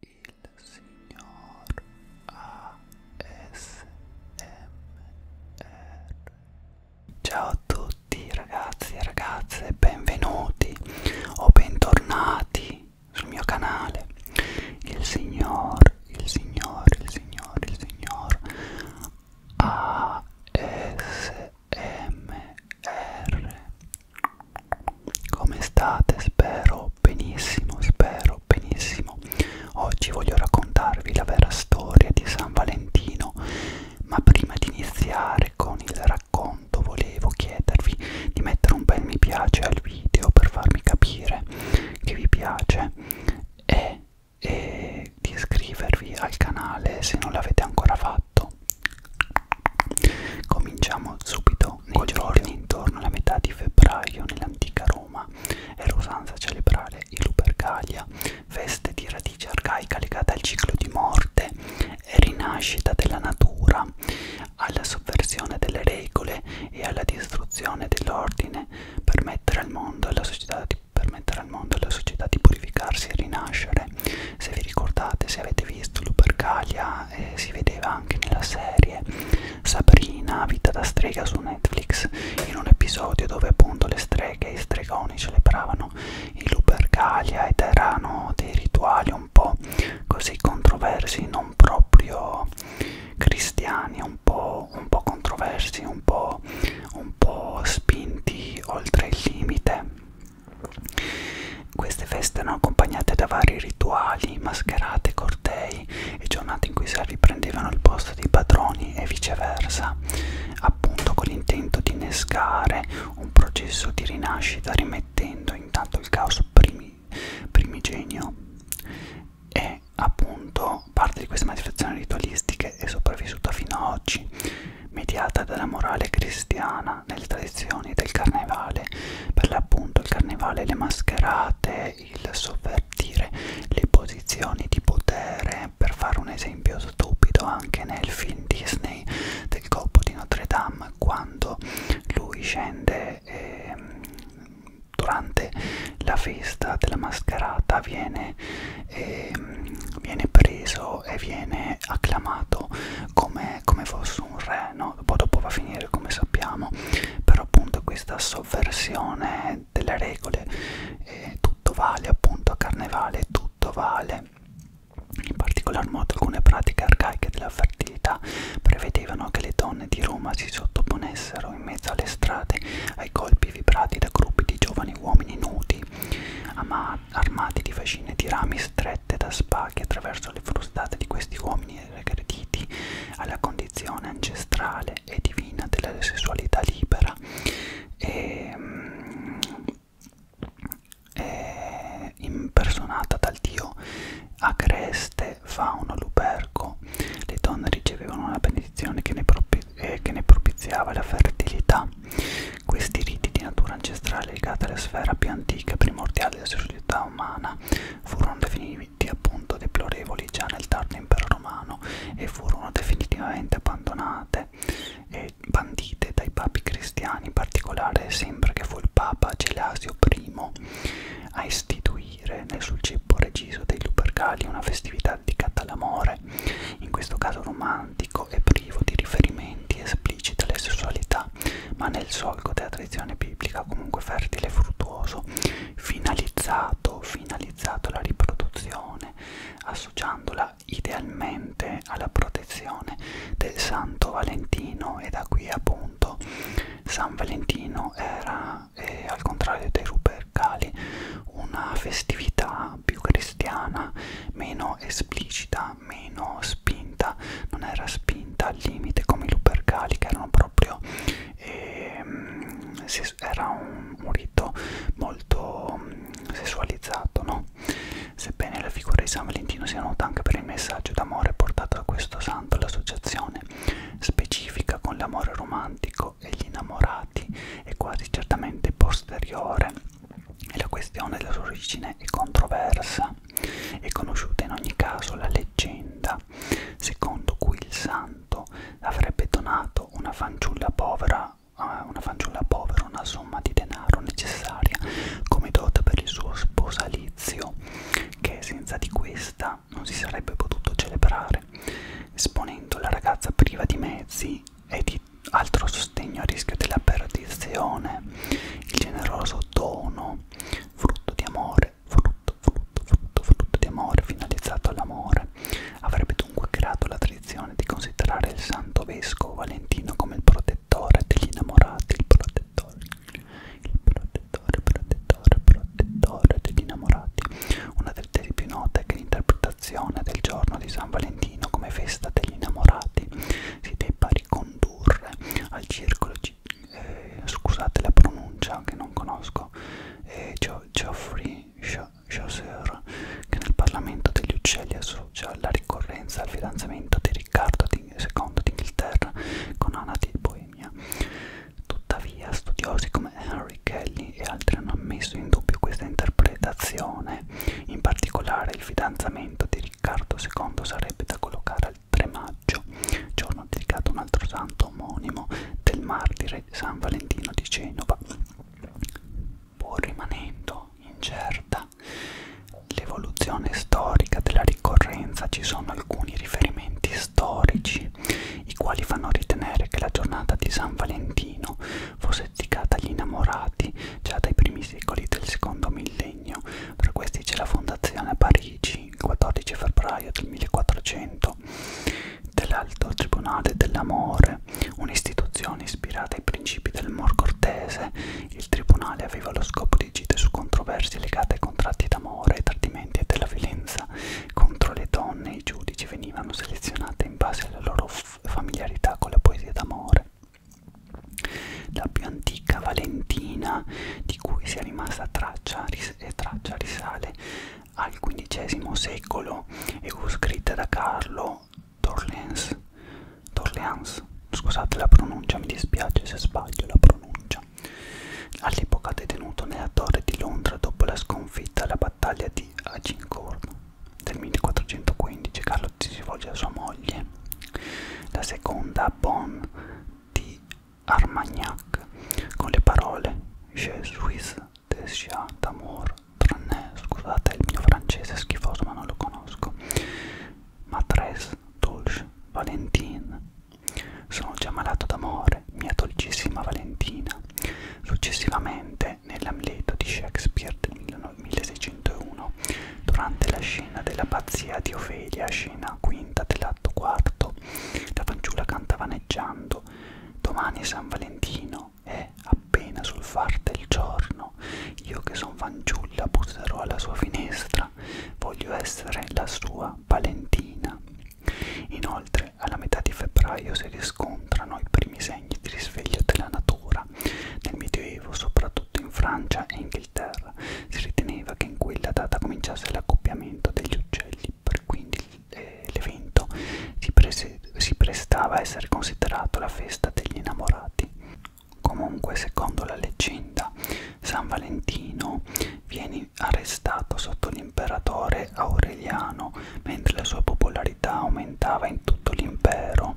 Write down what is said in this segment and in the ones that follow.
il signor ASMR Ciao a tutti ragazzi e ragazze, benvenuti o bentornati sul mio canale Il signor, il signor, il signor, il signor ASMR come state? Spero benissimo, spero benissimo. Oggi voglio raccontarvi la vera storia di San Valentino, ma prima di iniziare con il racconto volevo chiedervi di mettere un bel mi piace al video per farmi capire che vi piace e, e di iscrivervi al canale se non l'avete ancora fatto. Cominciamo subito nei Col giorni video. intorno alla metà di febbraio nell'antica Roma. Era usanza celebrare i Lupercalia, feste di radice arcaica legata al ciclo di morte e rinascita della natura, alla sovversione delle regole e alla distruzione dell'ordine per mettere al mondo la società di permettere al mondo e alla società di purificarsi e rinascere. Se vi ricordate, se avete visto Lupercalia ma eh, si vedeva anche nella serie Sabrina, vita da strega su Netflix, in un episodio dove appunto le streghe e i stregoni celebravano i Lupercalia ed erano dei rituali un po' così controversi, non proprio cristiani, un po', un po controversi, un po', un po' spinti oltre il limite queste feste erano accompagnate da vari rituali, mascherate, cortei e giornate in cui i servi prendevano il posto dei padroni e viceversa, appunto con l'intento di innescare un processo di rinascita rimettendo intanto il caos primi, primigenio e appunto parte di queste manifestazioni ritualistiche è sopravvissuta fino ad oggi mediata dalla morale cristiana italiana nelle tradizioni del carnevale, per l'appunto il carnevale, le mascherate, il sovvertire le posizioni di potere, per fare un esempio stupido anche nel film Disney del colpo di Notre Dame, quando lui scende e ehm, durante la festa della mascherata viene, eh, viene preso e viene acclamato come, come fosse un re, no? no, poi dopo va a finire come sappiamo, però appunto questa sovversione delle regole, eh, tutto vale appunto a carnevale, tutto vale. In particolar modo alcune pratiche arcaiche della fertilità prevedevano che le donne di Roma si sottoponessero in mezzo alle strade ai colpi vibrati da gruppi di giovani uomini nudi, armati di fascine di rami strette da spaghi attraverso le frustate di questi uomini destini regrediti alla condizione ancestrale e divina della sessualità libera e, ehm, e impersonata dal dio Agreste Fauno Luperco le donne ricevevano una benedizione che ne, propi eh, che ne propiziava la fertilità questi riti di natura ancestrale legati alla sfera più antica e primordiale della società umana furono definiti appunto deplorevoli già nel tardo impero romano e furono definitivamente abbandonate e bandite dai papi cristiani, in particolare sembra che fu il papa Gelasio I a istituire nel sulcippo regiso dei Lupercali una festività dedicata all'amore, in questo caso romantico e privo di riferimenti esplicita le sessualità, ma nel solco della tradizione biblica comunque fertile e fruttuoso, finalizzato, finalizzato alla riproduzione, associandola idealmente alla protezione del Santo Valentino e da qui appunto San Valentino era, eh, al contrario dei Rupercali, una festività più cristiana, meno esplicita ma meno spinta, non era spinta al limite come i lupercali che erano proprio, eh, era un, un rito molto mm, sessualizzato, no? Sebbene la figura di San Valentino sia nota anche per il messaggio d'amore portato da questo santo, l'associazione specifica con l'amore romantico e gli innamorati è quasi certamente posteriore e la questione della sua origine è controversa. È conosciuta in ogni caso la leggenda secondo cui il santo avrebbe donato una fanciulla povera eh, una fanciulla povera una somma di denaro necessaria come dote per il suo sposalizio che senza di questa non si sarebbe potuto celebrare esponendo la ragazza priva di mezzi e di altro sostegno a rischio della perdizione il generoso dono frutto di amore, frutto, frutto, frutto, frutto di amore finalizzato all'amore. Avrebbe dunque creato la tradizione di considerare il santo vescovo Valentino come il protettore degli innamorati, il protettore, il protettore, protettore, protettore degli innamorati. Una delle tesi più note è che l'interpretazione del giorno di San Valentino come festa degli innamorati si debba ricondurre al circolo eh, scusate la pronuncia che non conosco, eh, Geoffrey Chaucer, che nel Parlamento degli Uccelli associa la ricorrenza al fidanzamento di Riccardo II d'Inghilterra con Anna di Boemia. Tuttavia, studiosi come Henry Kelly e altri hanno messo in dubbio questa interpretazione. In particolare, il fidanzamento di Riccardo II sarebbe da collocare al al 3 maggio, giorno dedicato a un altro santo omonimo del martire San Valentino di Genova. Pur rimanendo incerta l'evoluzione storica della ricorrenza, ci sono alcuni riferimenti storici i quali fanno ritenere che la giornata di San Valentino fosse dedicata agli innamorati già dai primi secoli del secondo millennio tra questi c'è la fondazione a Parigi, il 14 febbraio del 1400, dell'Alto Tribunale dell'Amore, un'istituzione ispirata ai principi del Mor Cortese. Il tribunale aveva lo scopo di agire su controversie legate ai contratti d'amore, ai tradimenti e della violenza contro le donne. I giudici venivano selezionati in base alla loro familiarità con la poesia d'amore. La più antica Valentina di cui sia rimasta traccia, ris eh, traccia risale al XV secolo e fu scritta da Carlo d'Orleans. Scusate la pronuncia, mi dispiace se sbaglio la pronuncia. All'epoca detenuto nella torre di Londra dopo la sconfitta alla battaglia di Agincourt del 1415, Carlo si rivolge a sua moglie, la seconda Bonne di Armagnac con le parole Je suis déjà d'amour, tranne, scusate il mio francese è schifoso ma non lo conosco, Matres, Dolce, Valentine. Sono già malato d'amore, mia dolcissima Valentina. Successivamente, nell'Amleto di Shakespeare del 1601, Durante la scena della pazzia di Ofelia, scena quinta dell'atto quarto, la fanciulla canta vaneggiando Domani è San Valentino, è appena sul far del giorno. Io che son fanciulla busserò alla sua finestra, voglio essere la sua Valentina. Inoltre, alla metà di febbraio si riscontrano i primi segni di risveglio della natura. Nel Medioevo, soprattutto in Francia e in Inghilterra. Si riteneva che in quella data cominciasse l'accoppiamento degli uccelli, per quindi eh, l'evento si, si prestava a essere considerato la festa degli innamorati. Comunque, secondo la leggenda, San Valentino viene arrestato sotto l'imperatore Aureliano mentre la sua popolarità aumentava in tutto l'impero,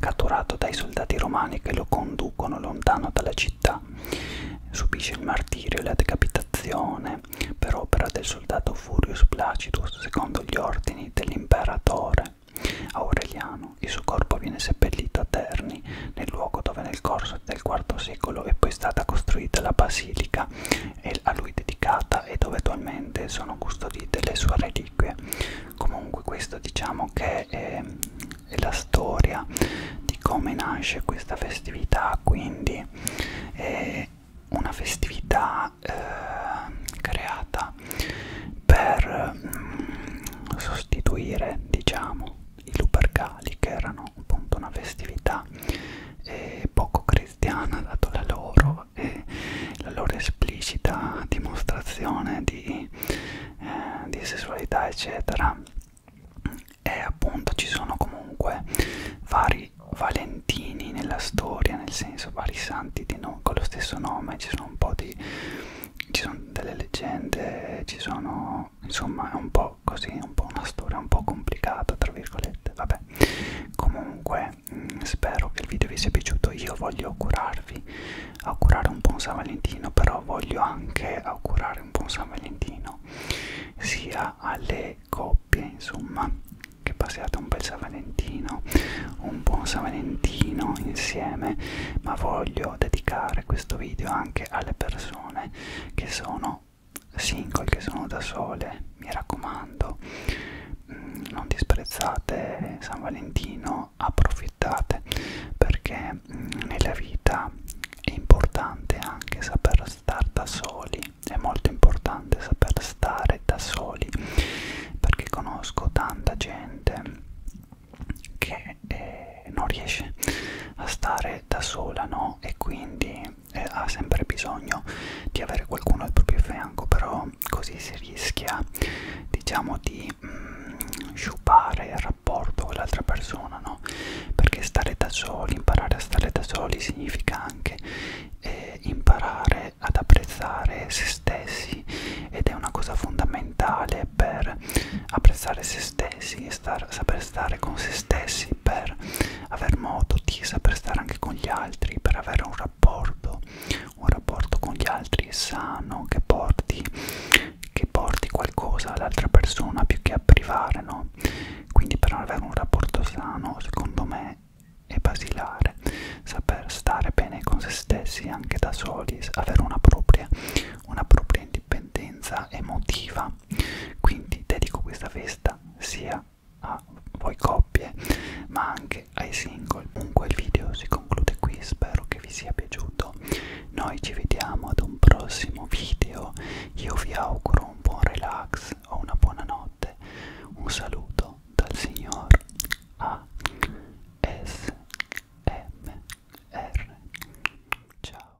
catturato dai soldati romani che lo conducono lontano dalla città città. Subisce il martirio e la decapitazione per opera del soldato Furius Placidus secondo gli ordini dell'imperatore Aureliano. Il suo corpo viene seppellito a Terni, nel luogo dove nel corso del IV secolo è poi stata costruita la basilica a lui dedicata e dove attualmente sono custodite le sue reliquie. Comunque questo diciamo che è e la storia di come nasce questa festività, quindi è una festività eh, creata per mm, sostituire diciamo i Lupercali che erano appunto una festività eh, poco cristiana dato la loro e eh, la loro esplicita dimostrazione di eh, di sessualità eccetera e appunto ci sono comunque vari valentini nella storia nel senso vari santi di no, con lo stesso nome ci sono un po' di ci sono delle leggende ci sono insomma è un po' così un po' una storia un po' complicata tra virgolette vabbè comunque mh, mm, spero che il video vi sia piaciuto io voglio curare salutarvi, augurare un buon San Valentino, però voglio anche augurare un buon San Valentino sia alle coppie, insomma, che passiate un bel San Valentino, un buon San Valentino insieme, ma voglio dedicare questo video anche alle persone che sono single, che sono da sole, mi raccomando, mm, non disprezzate San Valentino almeno approfittate perché mm, nella vita è importante anche saper stare da soli, è molto importante saper stare da soli perché conosco tanta gente che eh, non riesce a stare da sola, no? E quindi eh, ha sempre bisogno di avere qualcuno al proprio fianco, però così si rischia, diciamo, di... Mm, sciupare il rapporto con l'altra persona, no? Perché stare da soli, imparare a stare da soli significa anche eh, imparare ad apprezzare se stessi ed è una cosa fondamentale per apprezzare se stessi e star, saper stare con se stessi per aver modo di saper stare anche con gli altri, per avere un rapporto, un rapporto con gli altri sano che porti che porti qualcosa all'altra persona più che a privare, no? Quindi per avere un rapporto sano, secondo me, è basilare saper stare bene con se stessi anche da soli, avere una propria, una propria indipendenza emotiva. Quindi dedico questa festa sia a voi coppie ma anche ai single. Comunque il video si conclude qui, spero che vi sia piaciuto. Noi ci vediamo ad un prossimo video. Io vi auguro un buon relax o una buona notte. Un saluto dal signor A S M R. Ciao.